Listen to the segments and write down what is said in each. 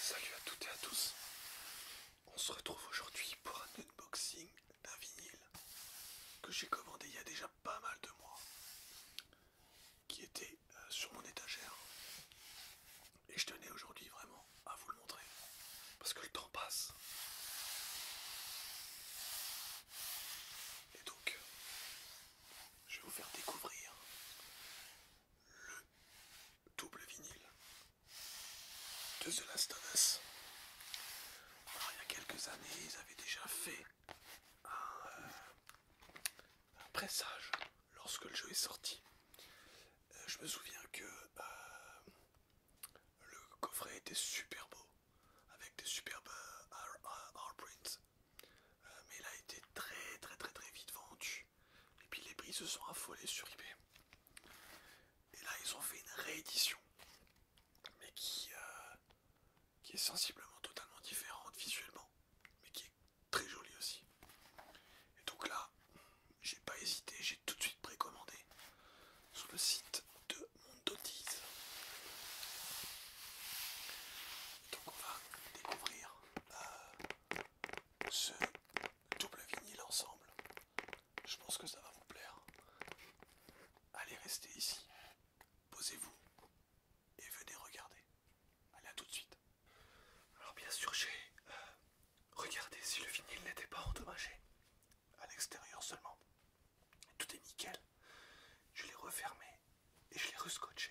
Salut à toutes et à tous. On se retrouve aujourd'hui pour un unboxing d'un vinyle que j'ai commandé il y a déjà pas mal de mois, qui était euh, sur mon étagère. Et je tenais aujourd'hui vraiment à vous le montrer, parce que le temps passe je vais vous faire découvrir le double vinyle de The Last of Us. il y a quelques années, ils avaient déjà fait un, euh, pressage lorsque le jeu est sorti. Euh, je me souviens que euh, le coffret était super beau avec des superbes euh, r prints euh, mais il a été très très très très vite vendu. Et puis les prix se sont affolés sur eBay. Et là ils ont fait une réédition. Mais qui, euh, qui est sensiblement totalement différente visuellement. Mais qui est très jolie aussi. Et donc là, j'ai pas hésité, j'ai tout de suite précommandé sur le site de Mondotise. Donc on va découvrir euh, ce double vinyle ensemble. Je pense que ça va vous plaire. Allez rester ici, posez-vous et venez regarder. Allez à tout de suite. Alors bien sûr j'ai euh, regardé si le vinyle n'était pas endommagé. À l'extérieur seulement. Tout est nickel je l'ai refermé et je l'ai rescotché.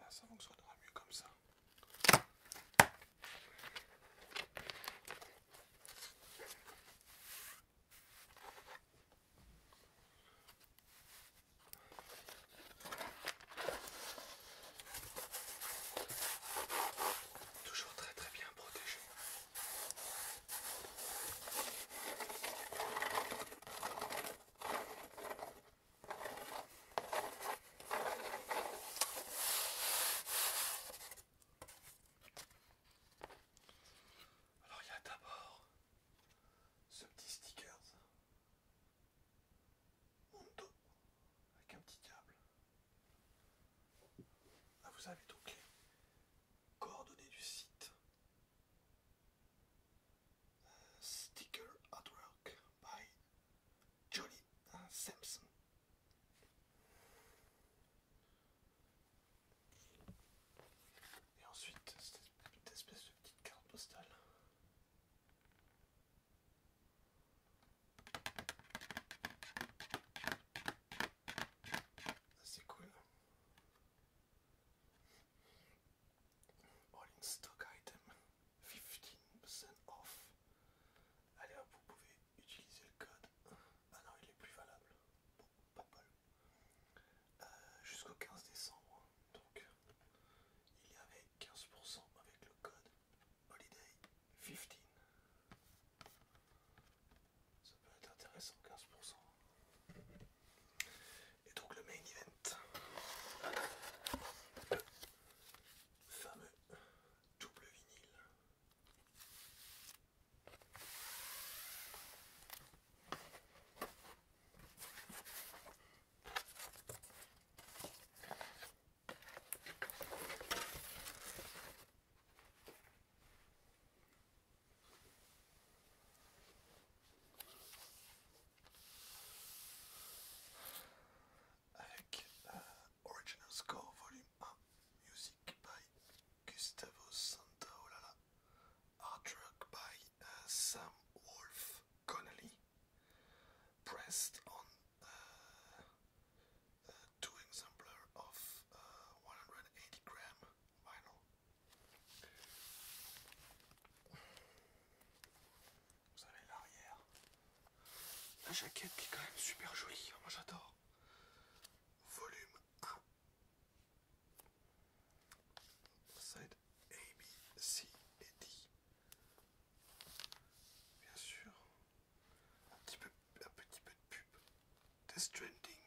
Ah, ça fonctionnera mieux comme ça. Toujours très très bien protégé. Alors il y a d'abord ce petit stickers avec un petit câble. Ah vous avez donc les, coordonnées du site. Sticker work by Johnny euh, Simpson. Et ensuite, cette espèce de petite carte postale. C'est cool. All in stock item 15% off. Allez vous pouvez utiliser le code. Ah non, il est plus valable. Bon, pas mal. Euh, jusqu'au 15 décembre. Hein. Donc, il y avait 15% avec le code Holiday 15. Ça peut être intéressant, 15%. Et donc le main event. fameux double vinyle. Avec euh, Original Score Volume 1, Music by Gustavo Santaolalla, oh Art by euh, Sam Wolf Connolly, pressed on euh, two exemplaires de 180 grammes Vous avez l'arrière. La jaquette qui est quand même super jolie, hein, moi j'adore. Volume A Side A, B, C et D. Bien sûr. Un petit peu un petit peu de pub. Death Stranding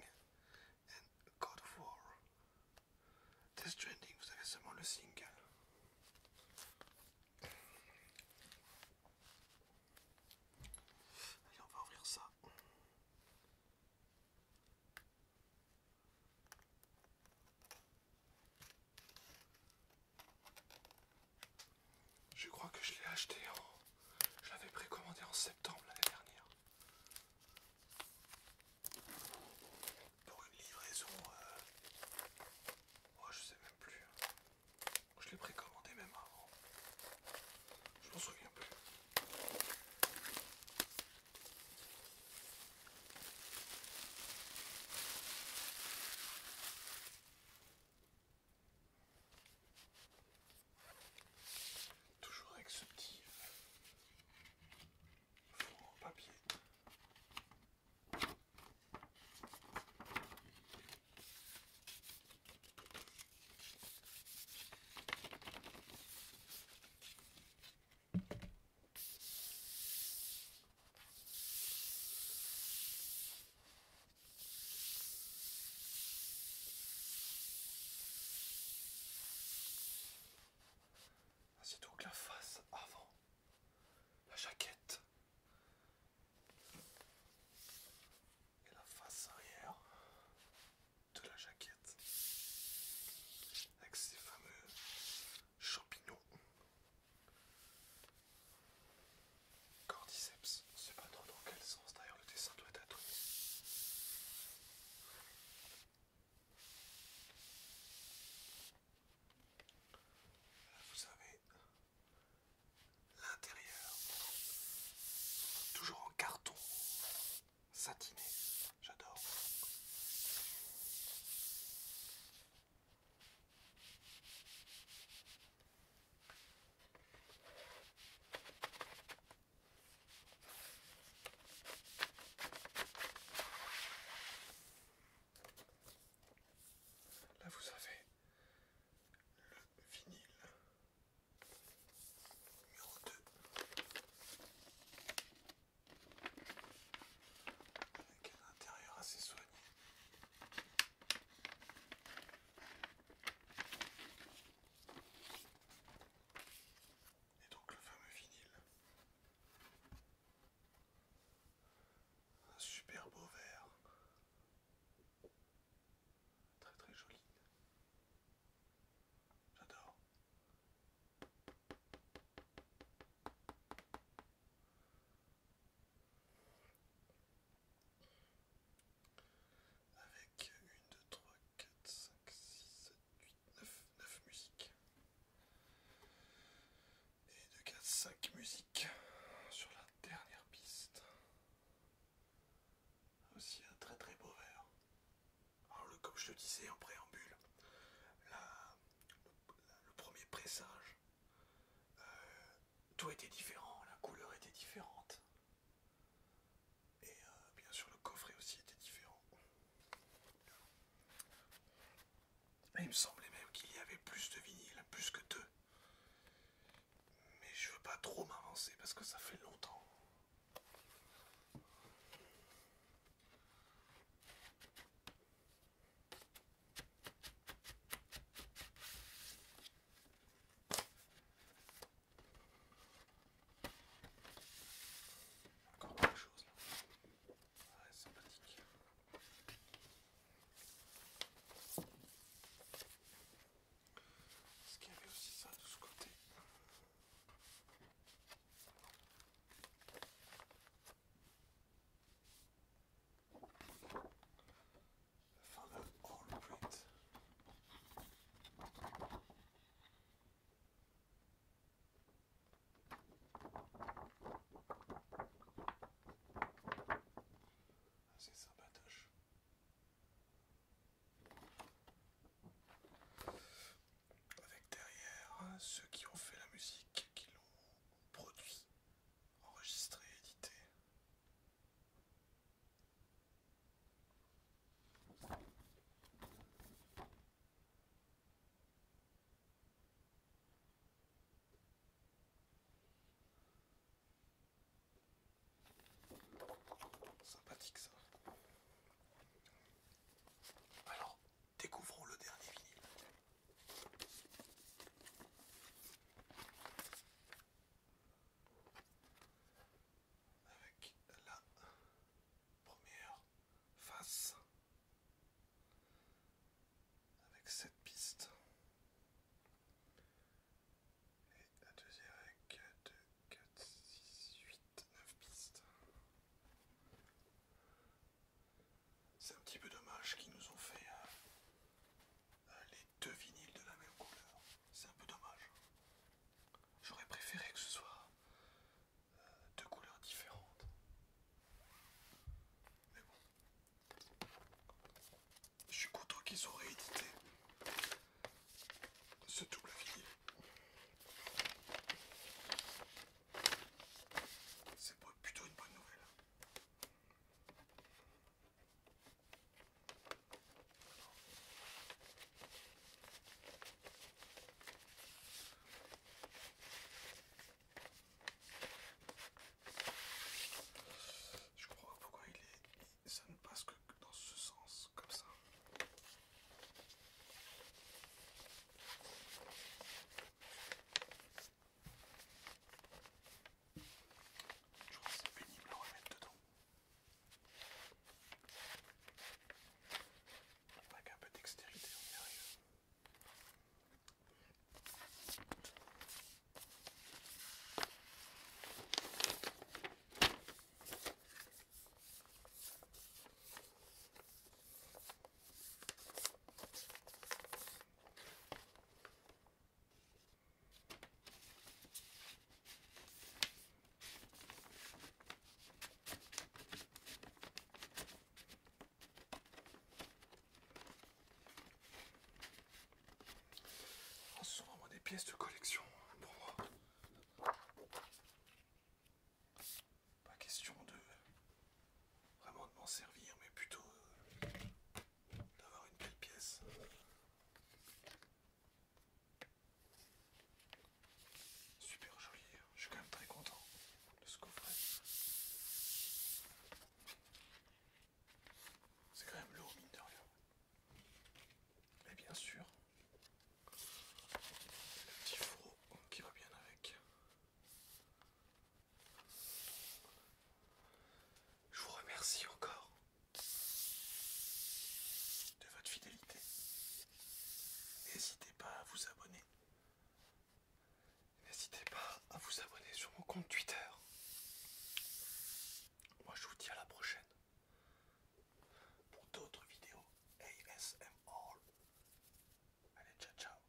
and God of War. Death Stranding, vous avez seulement le single. Allez, on va ouvrir ça. Je crois que je l'ai acheté en hein. Je l'avais précommandé en septembre l'année dernière. Pour une livraison, euh... oh, je sais même plus. Hein. Je l'ai précommandé même avant. Je m'en souviens plus. Toujours avec ce petit fond en papier. Ah, c'est donc la face avant, la jaquette et la face arrière de la jaquette avec ces fameux champignons. Cordyceps, on ne sait pas trop dans quel sens d'ailleurs le dessin doit être vous avez l'intérieur, toujours en carton satiné, j'adore. Là, vous avez le vinyle numéro 2 avec un intérieur assez soigné. Et donc le fameux vinyle. Un super beau vert, Très très joli. J'adore avec 1, 2, 3, 4, 5, 6, 7, 8, 9, 9 musiques et 2, 4, 5 musiques sur la dernière piste. Aussi un très très beau verre. Alors, comme je le disais en préambule, le, premier pressage, euh, tout était différent, la couleur était différente. Et euh, bien sûr le coffret aussi était différent. il me semblait même qu'il y avait plus de vinyles, plus que deux. Mais je veux pas trop m'avancer parce que ça fait longtemps. Encore quelque chose là. Ah, c'est sympathique. Est-ce qu'il y avait aussi ça de ce côté ah, c'est Avec derrière euh, ceux qui ont fait la musique, qui l'ont produit, enregistré, édité. Sympathique ça. Alors, découvrons le dernier vinyle avec la première face avec cette piste et la deuxième avec 2, 4, 6, 8, 9 pistes. C'est un petit peu dommage qu'ils nous ont fait euh, euh, les deux vinyles de la même couleur. C'est un peu dommage. J'aurais préféré que ce soit euh, deux couleurs différentes. Mais bon. Je suis content qu'ils ont réédité ce double vinyle. C'est plutôt une bonne nouvelle. Je crois pas pourquoi il est. ça ne passe que dans ce sens, comme ça. Je pense que c'est pénible à remettre dedans pas un peu dextérité, en ah, ce sont des pièces de collection hein, pour moi. Pas question de vraiment de m'en servir, mais plutôt euh, d'avoir une belle pièce. Super joli, hein. je suis quand même très content de ce coffret. C'est quand même lourd mine de rien. bien sûr, le petit fourreau qui va bien avec. Je vous remercie encore de votre fidélité. N'hésitez pas à vous abonner. N'hésitez pas à vous abonner sur mon compte Twitter. Moi je vous dis à la prochaine pour d'autres vidéos ASMR. Allez, ciao ciao